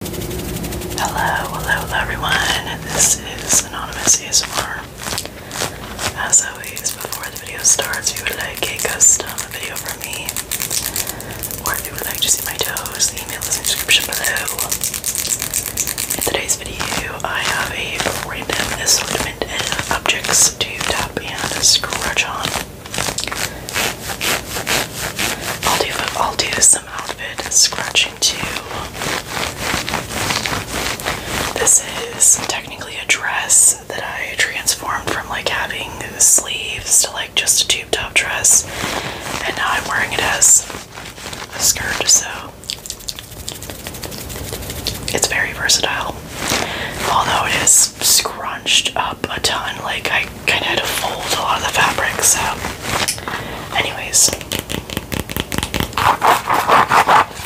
Hello, hello, everyone. This is Anonymous ASMR. As always, before the video starts, you would like a custom video from me, or you would like to see my toes, the email is in the description below. In today's video, I have a random assortment of objects to tap and scratch on. I'll do some outfit scratching too. This is technically a dress that I transformed from like having sleeves to like just a tube top dress, and now I'm wearing it as a skirt. So it's very versatile, although it is scrunched up a ton. Like I kind of had to fold a lot of the fabric, so anyways.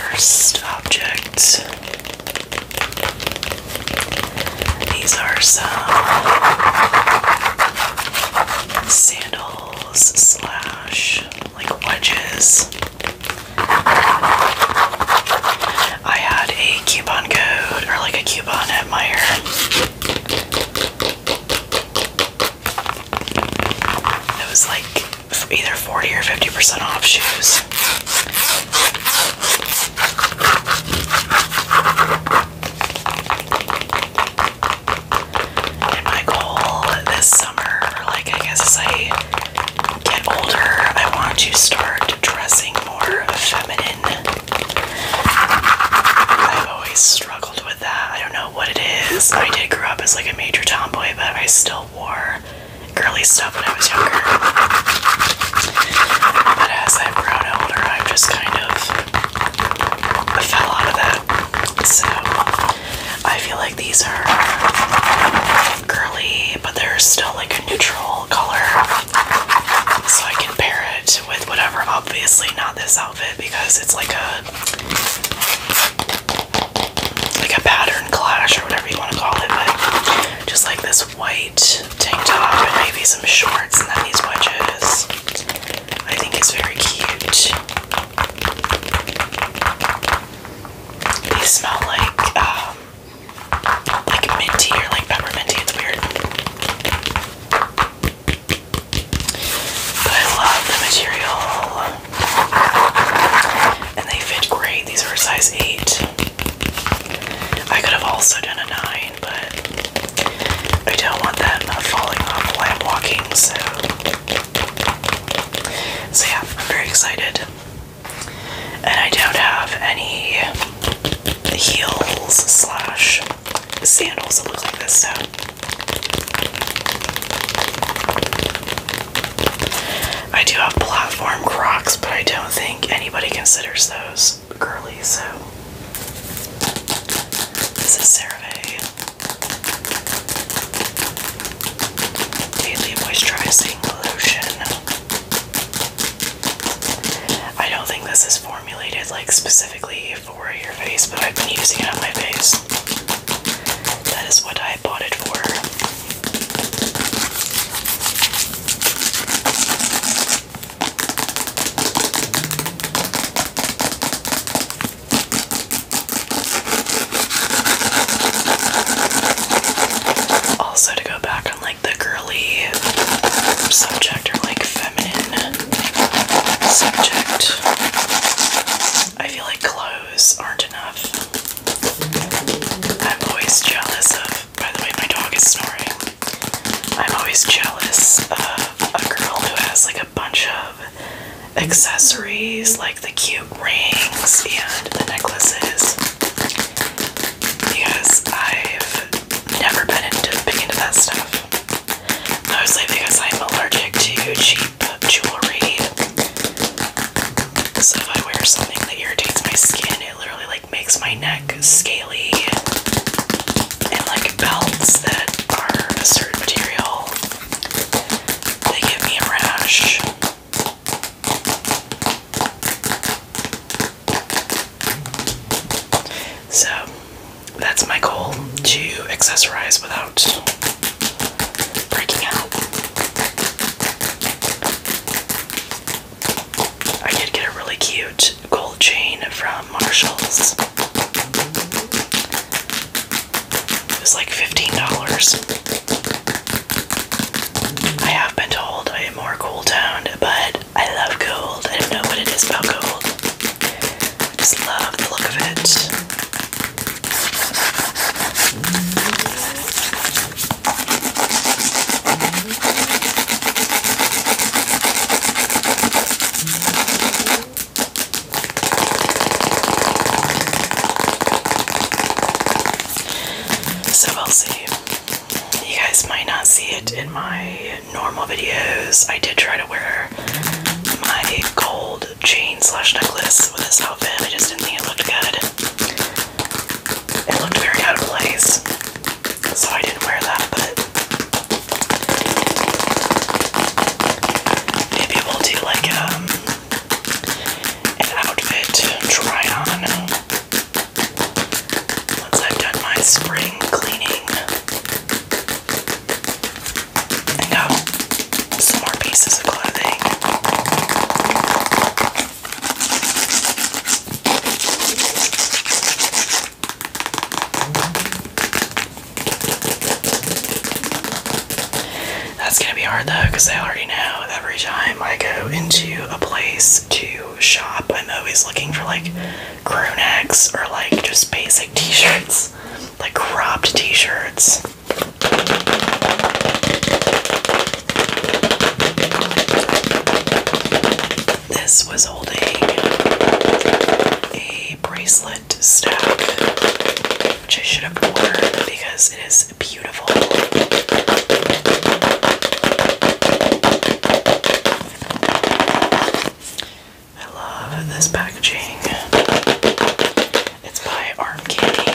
First objects. These are some sandals slash like wedges. I had a coupon code or like a coupon at Meyer it was like either 40 or 50% off shoes. my goal this summer, like I guess as I get older, I want to start dressing more feminine. I've always struggled with I don't know what it is. I did grow up as like a major tomboy, but I still wore girly stuff when I was younger. But as I've grown older, I've just kind of fell out of that. So I feel like these are girly, but they're still like a neutral color. So I can pair it with whatever. Obviously, not this outfit because it's like a like a pattern clash or whatever you want to call it. But just like this white tank top and maybe some shorts and then these wedges. I think it's very cute. These smell like um, like minty or like pepperminty. It's weird. But I love the material. And they fit great. These are a size 8. I could have also done a 9, but I don't want that falling off while I'm walking, so. So yeah, I'm very excited. And I don't have any heels slash sandals look like this, so I do have platform crocs, but I don't think anybody considers those girly, so this is CeraVe Daily Moisturizing Lotion. I don't think this is formulated like specifically for your face, but I've been using it on my face. That is what I bought it for. Also, to go back on like the girly subject or like feminine subject. I feel like clothes aren't enough. I'm always jealous of, by the way, my dog is snoring. I'm always jealous of a girl who has like a bunch of accessories, like the cute rings and the necklaces. Because I've never been into big into that stuff. Mostly because I'm allergic to cheap jewelry. So if I wear something that irritates my skin, it literally like makes my neck scaly and like belts that are a certain material. They give me a rash. So that's my goal to accessorize without breaking out. I did get a really cute gold chain from Marshalls. It was like $15. I have been told I am more gold toned, but I love gold. I don't know what it is about gold. I just love the look of it. So we'll see. You guys might not see it in my normal videos, I did try to wear my gold chain slash necklace with this outfit. I just didn't think it looked good. It looked very out of place, so I didn't wear that, but maybe we'll do like um, an outfit try on once I've done my spring cleaning. And now, some more pieces of clothing. That's gonna be hard though, because I already know every time I go into a place to shop, I'm always looking for like crew necks or like just basic t shirts like cropped t shirts. This was holding a bracelet stack, which I should have worn because it is beautiful. I love this packaging. It's by Arm Candy.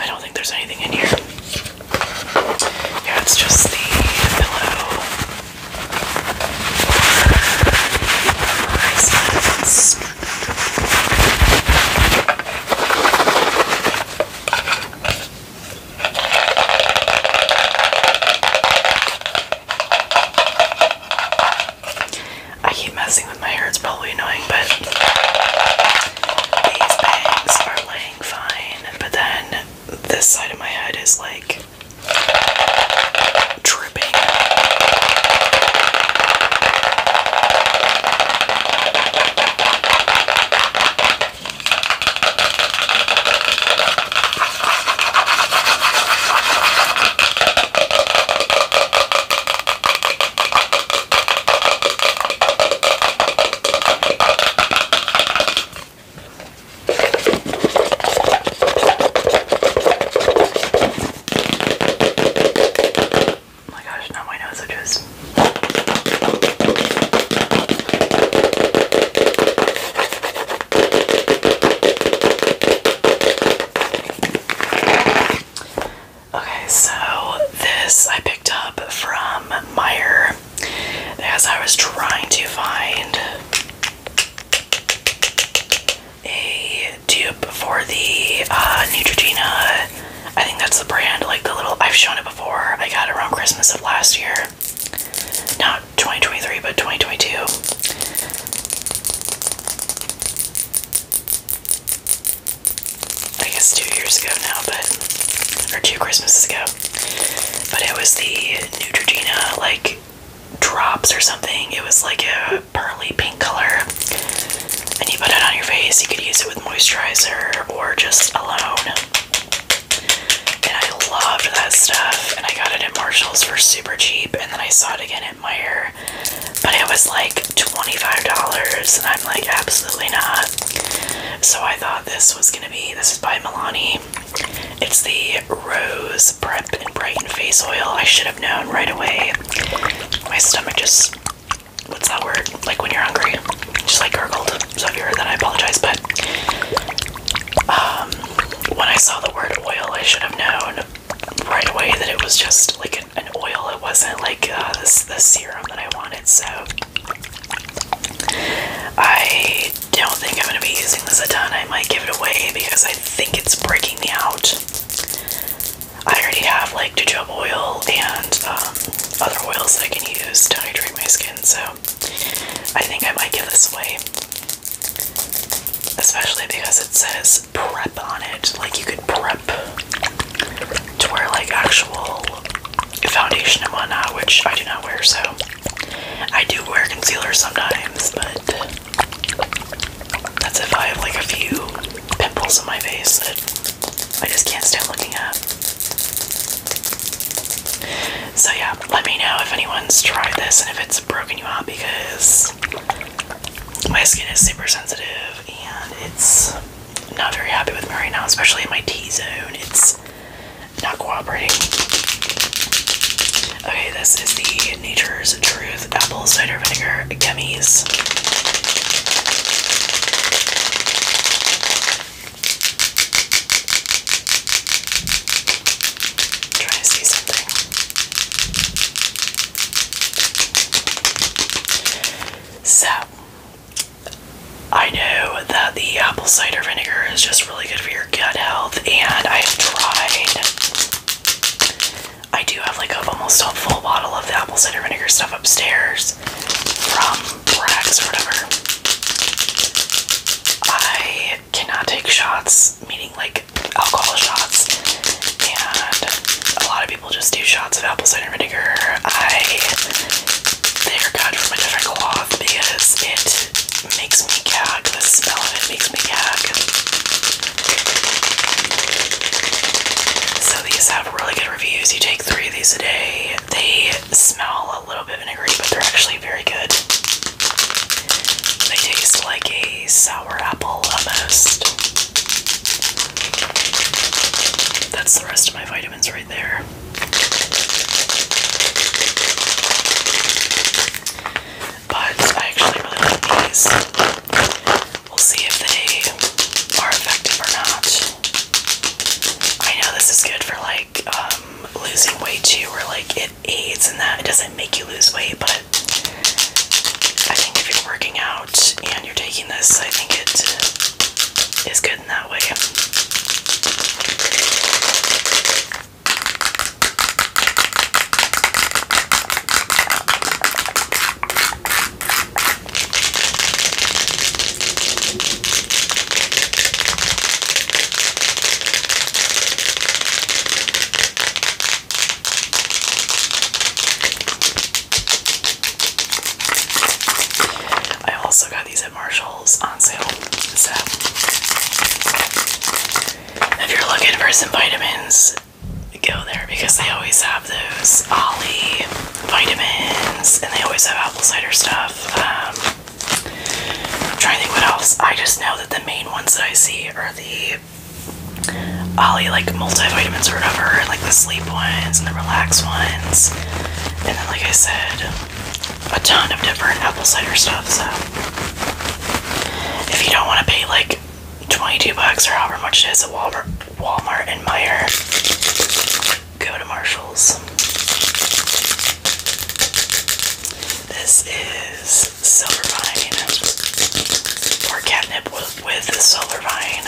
I don't think there's anything in here. Yeah, it's just the pillow I keep messing with my hair, it's probably annoying, but these bangs are laying fine, but then this side of my head is like dripping. Oh my gosh, now my nose itches. Okay, so this I picked up from Meyer as I was trying to find a tube for the uh, Neutrogena. I think that's the brand. Like the little I've shown it before. I got it around Christmas of last year, not 2023, but 2022. I guess two years ago now, but or two Christmases ago. But it was the Neutrogena like drops or something. It was like a pearly pink color. And you put it on your face. You could use it with moisturizer or just alone. And I loved that stuff. And I got it at Marshalls for super cheap. And then I saw it again at Meijer. But it was like $25. And I'm like, absolutely not. So I thought this was going to be, this is by Milani. It's the Rose Prep and Brighten Face Oil. I should have known right away. My stomach just, what's that word? Like when you're hungry, just like gurgled. So if you heard that, I apologize. But um, when I saw the word oil, I should have known right away that it was just like an, oil. It wasn't like uh, this the serum that I wanted. So I don't think I'm gonna be using this a ton. I might give it away because I think it's breaking me out. I already have like jojoba oil and um, other oils that I can use to hydrate my skin, so I think I might give this away. Especially because it says prep on it. Like you could prep to wear like actual foundation and whatnot, which I do not wear, so I do wear concealer sometimes, but that's if I have like a few pimples on my face that I just can't stand looking at. So yeah, let me know if anyone's tried this and if it's broken you out because my skin is super sensitive and it's not very happy with me right now, especially in my T zone. It's not cooperating. Okay, this is the Nature's Truth Apple Cider Vinegar Gummies. i to see something. So, I know that the apple cider vinegar is just really good for your gut health, and I have tried I do have like a almost a full bottle of the apple cider vinegar stuff upstairs from Bragg's or whatever. I cannot take shots, meaning like alcohol shots, and a lot of people just do shots of apple cider vinegar. I they're from a different cloth because it makes me gag. The smell of it makes me gag. So these have really good reviews. You take three of these a day. They smell a little bit vinegary, but they're actually very good. They taste like a sour apple almost. That's the rest of my vitamins right there but I actually really like these. We'll see if they are effective or not. I know this is good for like um, losing weight too, or like it aids in that. It doesn't make you lose weight, but I think if you're working out and you're taking this, I think it is good in that way. I also got these at Marshall's on sale. So if you're looking for some vitamins go there because they always have those Ollie vitamins and they always have apple cider stuff. Um, i trying to think what else. I just know that the main ones that I see are the Ollie like multivitamins or whatever, like the sleep ones and the relax ones. And then, like I said, a ton of different apple cider stuff. So, if you don't want to pay like 22 bucks or however much it is at Walmart, Walmart and Meyer. Go to Marshalls. This is Silver Vine or catnip with, with Silver Vine.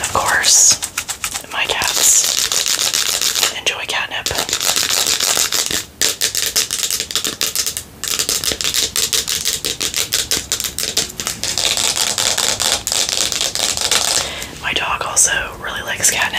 Of course, my cats enjoy catnip. My dog also really likes catnip.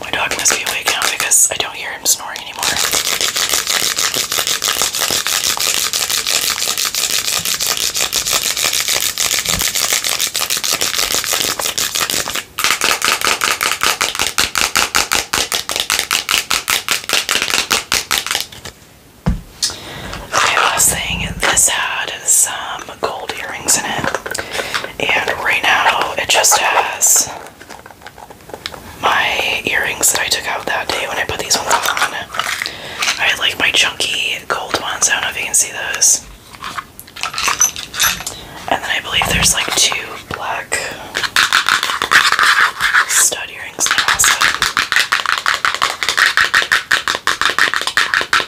My dog must be awake now because I don't hear him snoring anymore. Last thing, saying this had some gold earrings in it, and right now it just has my earrings that I took out that day when I put these ones on. I like my chunky gold ones, I don't know if you can see those. And then I believe there's like two black stud earrings in there also.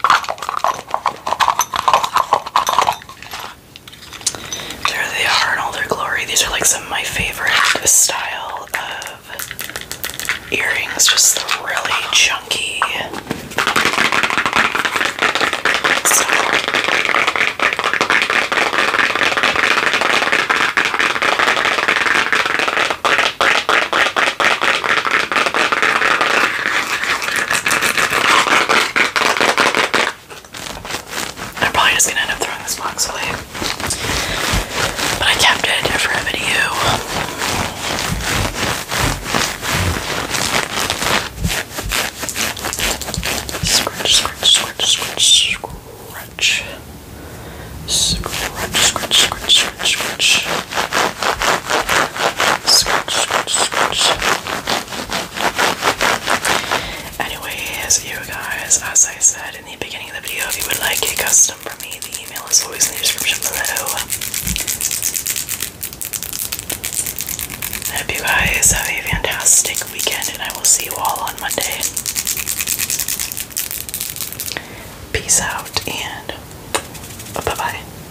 There they are in all their glory. These are like some of my favorite style of earrings, just really chunky I'm probably just gonna end up throwing this box away. But I kept it for a video. Scratch, scratch, scratch, scratch, scratch. Scratch, scratch, scratch, scratch, scratch. Scratch, scratch, scratch. Anyways, you guys, as I said in the beginning of the video, if you would like a custom from me, the email is always in the description below. hope you guys have a fantastic weekend, and I will see you all on Monday. Peace out, and bye bye.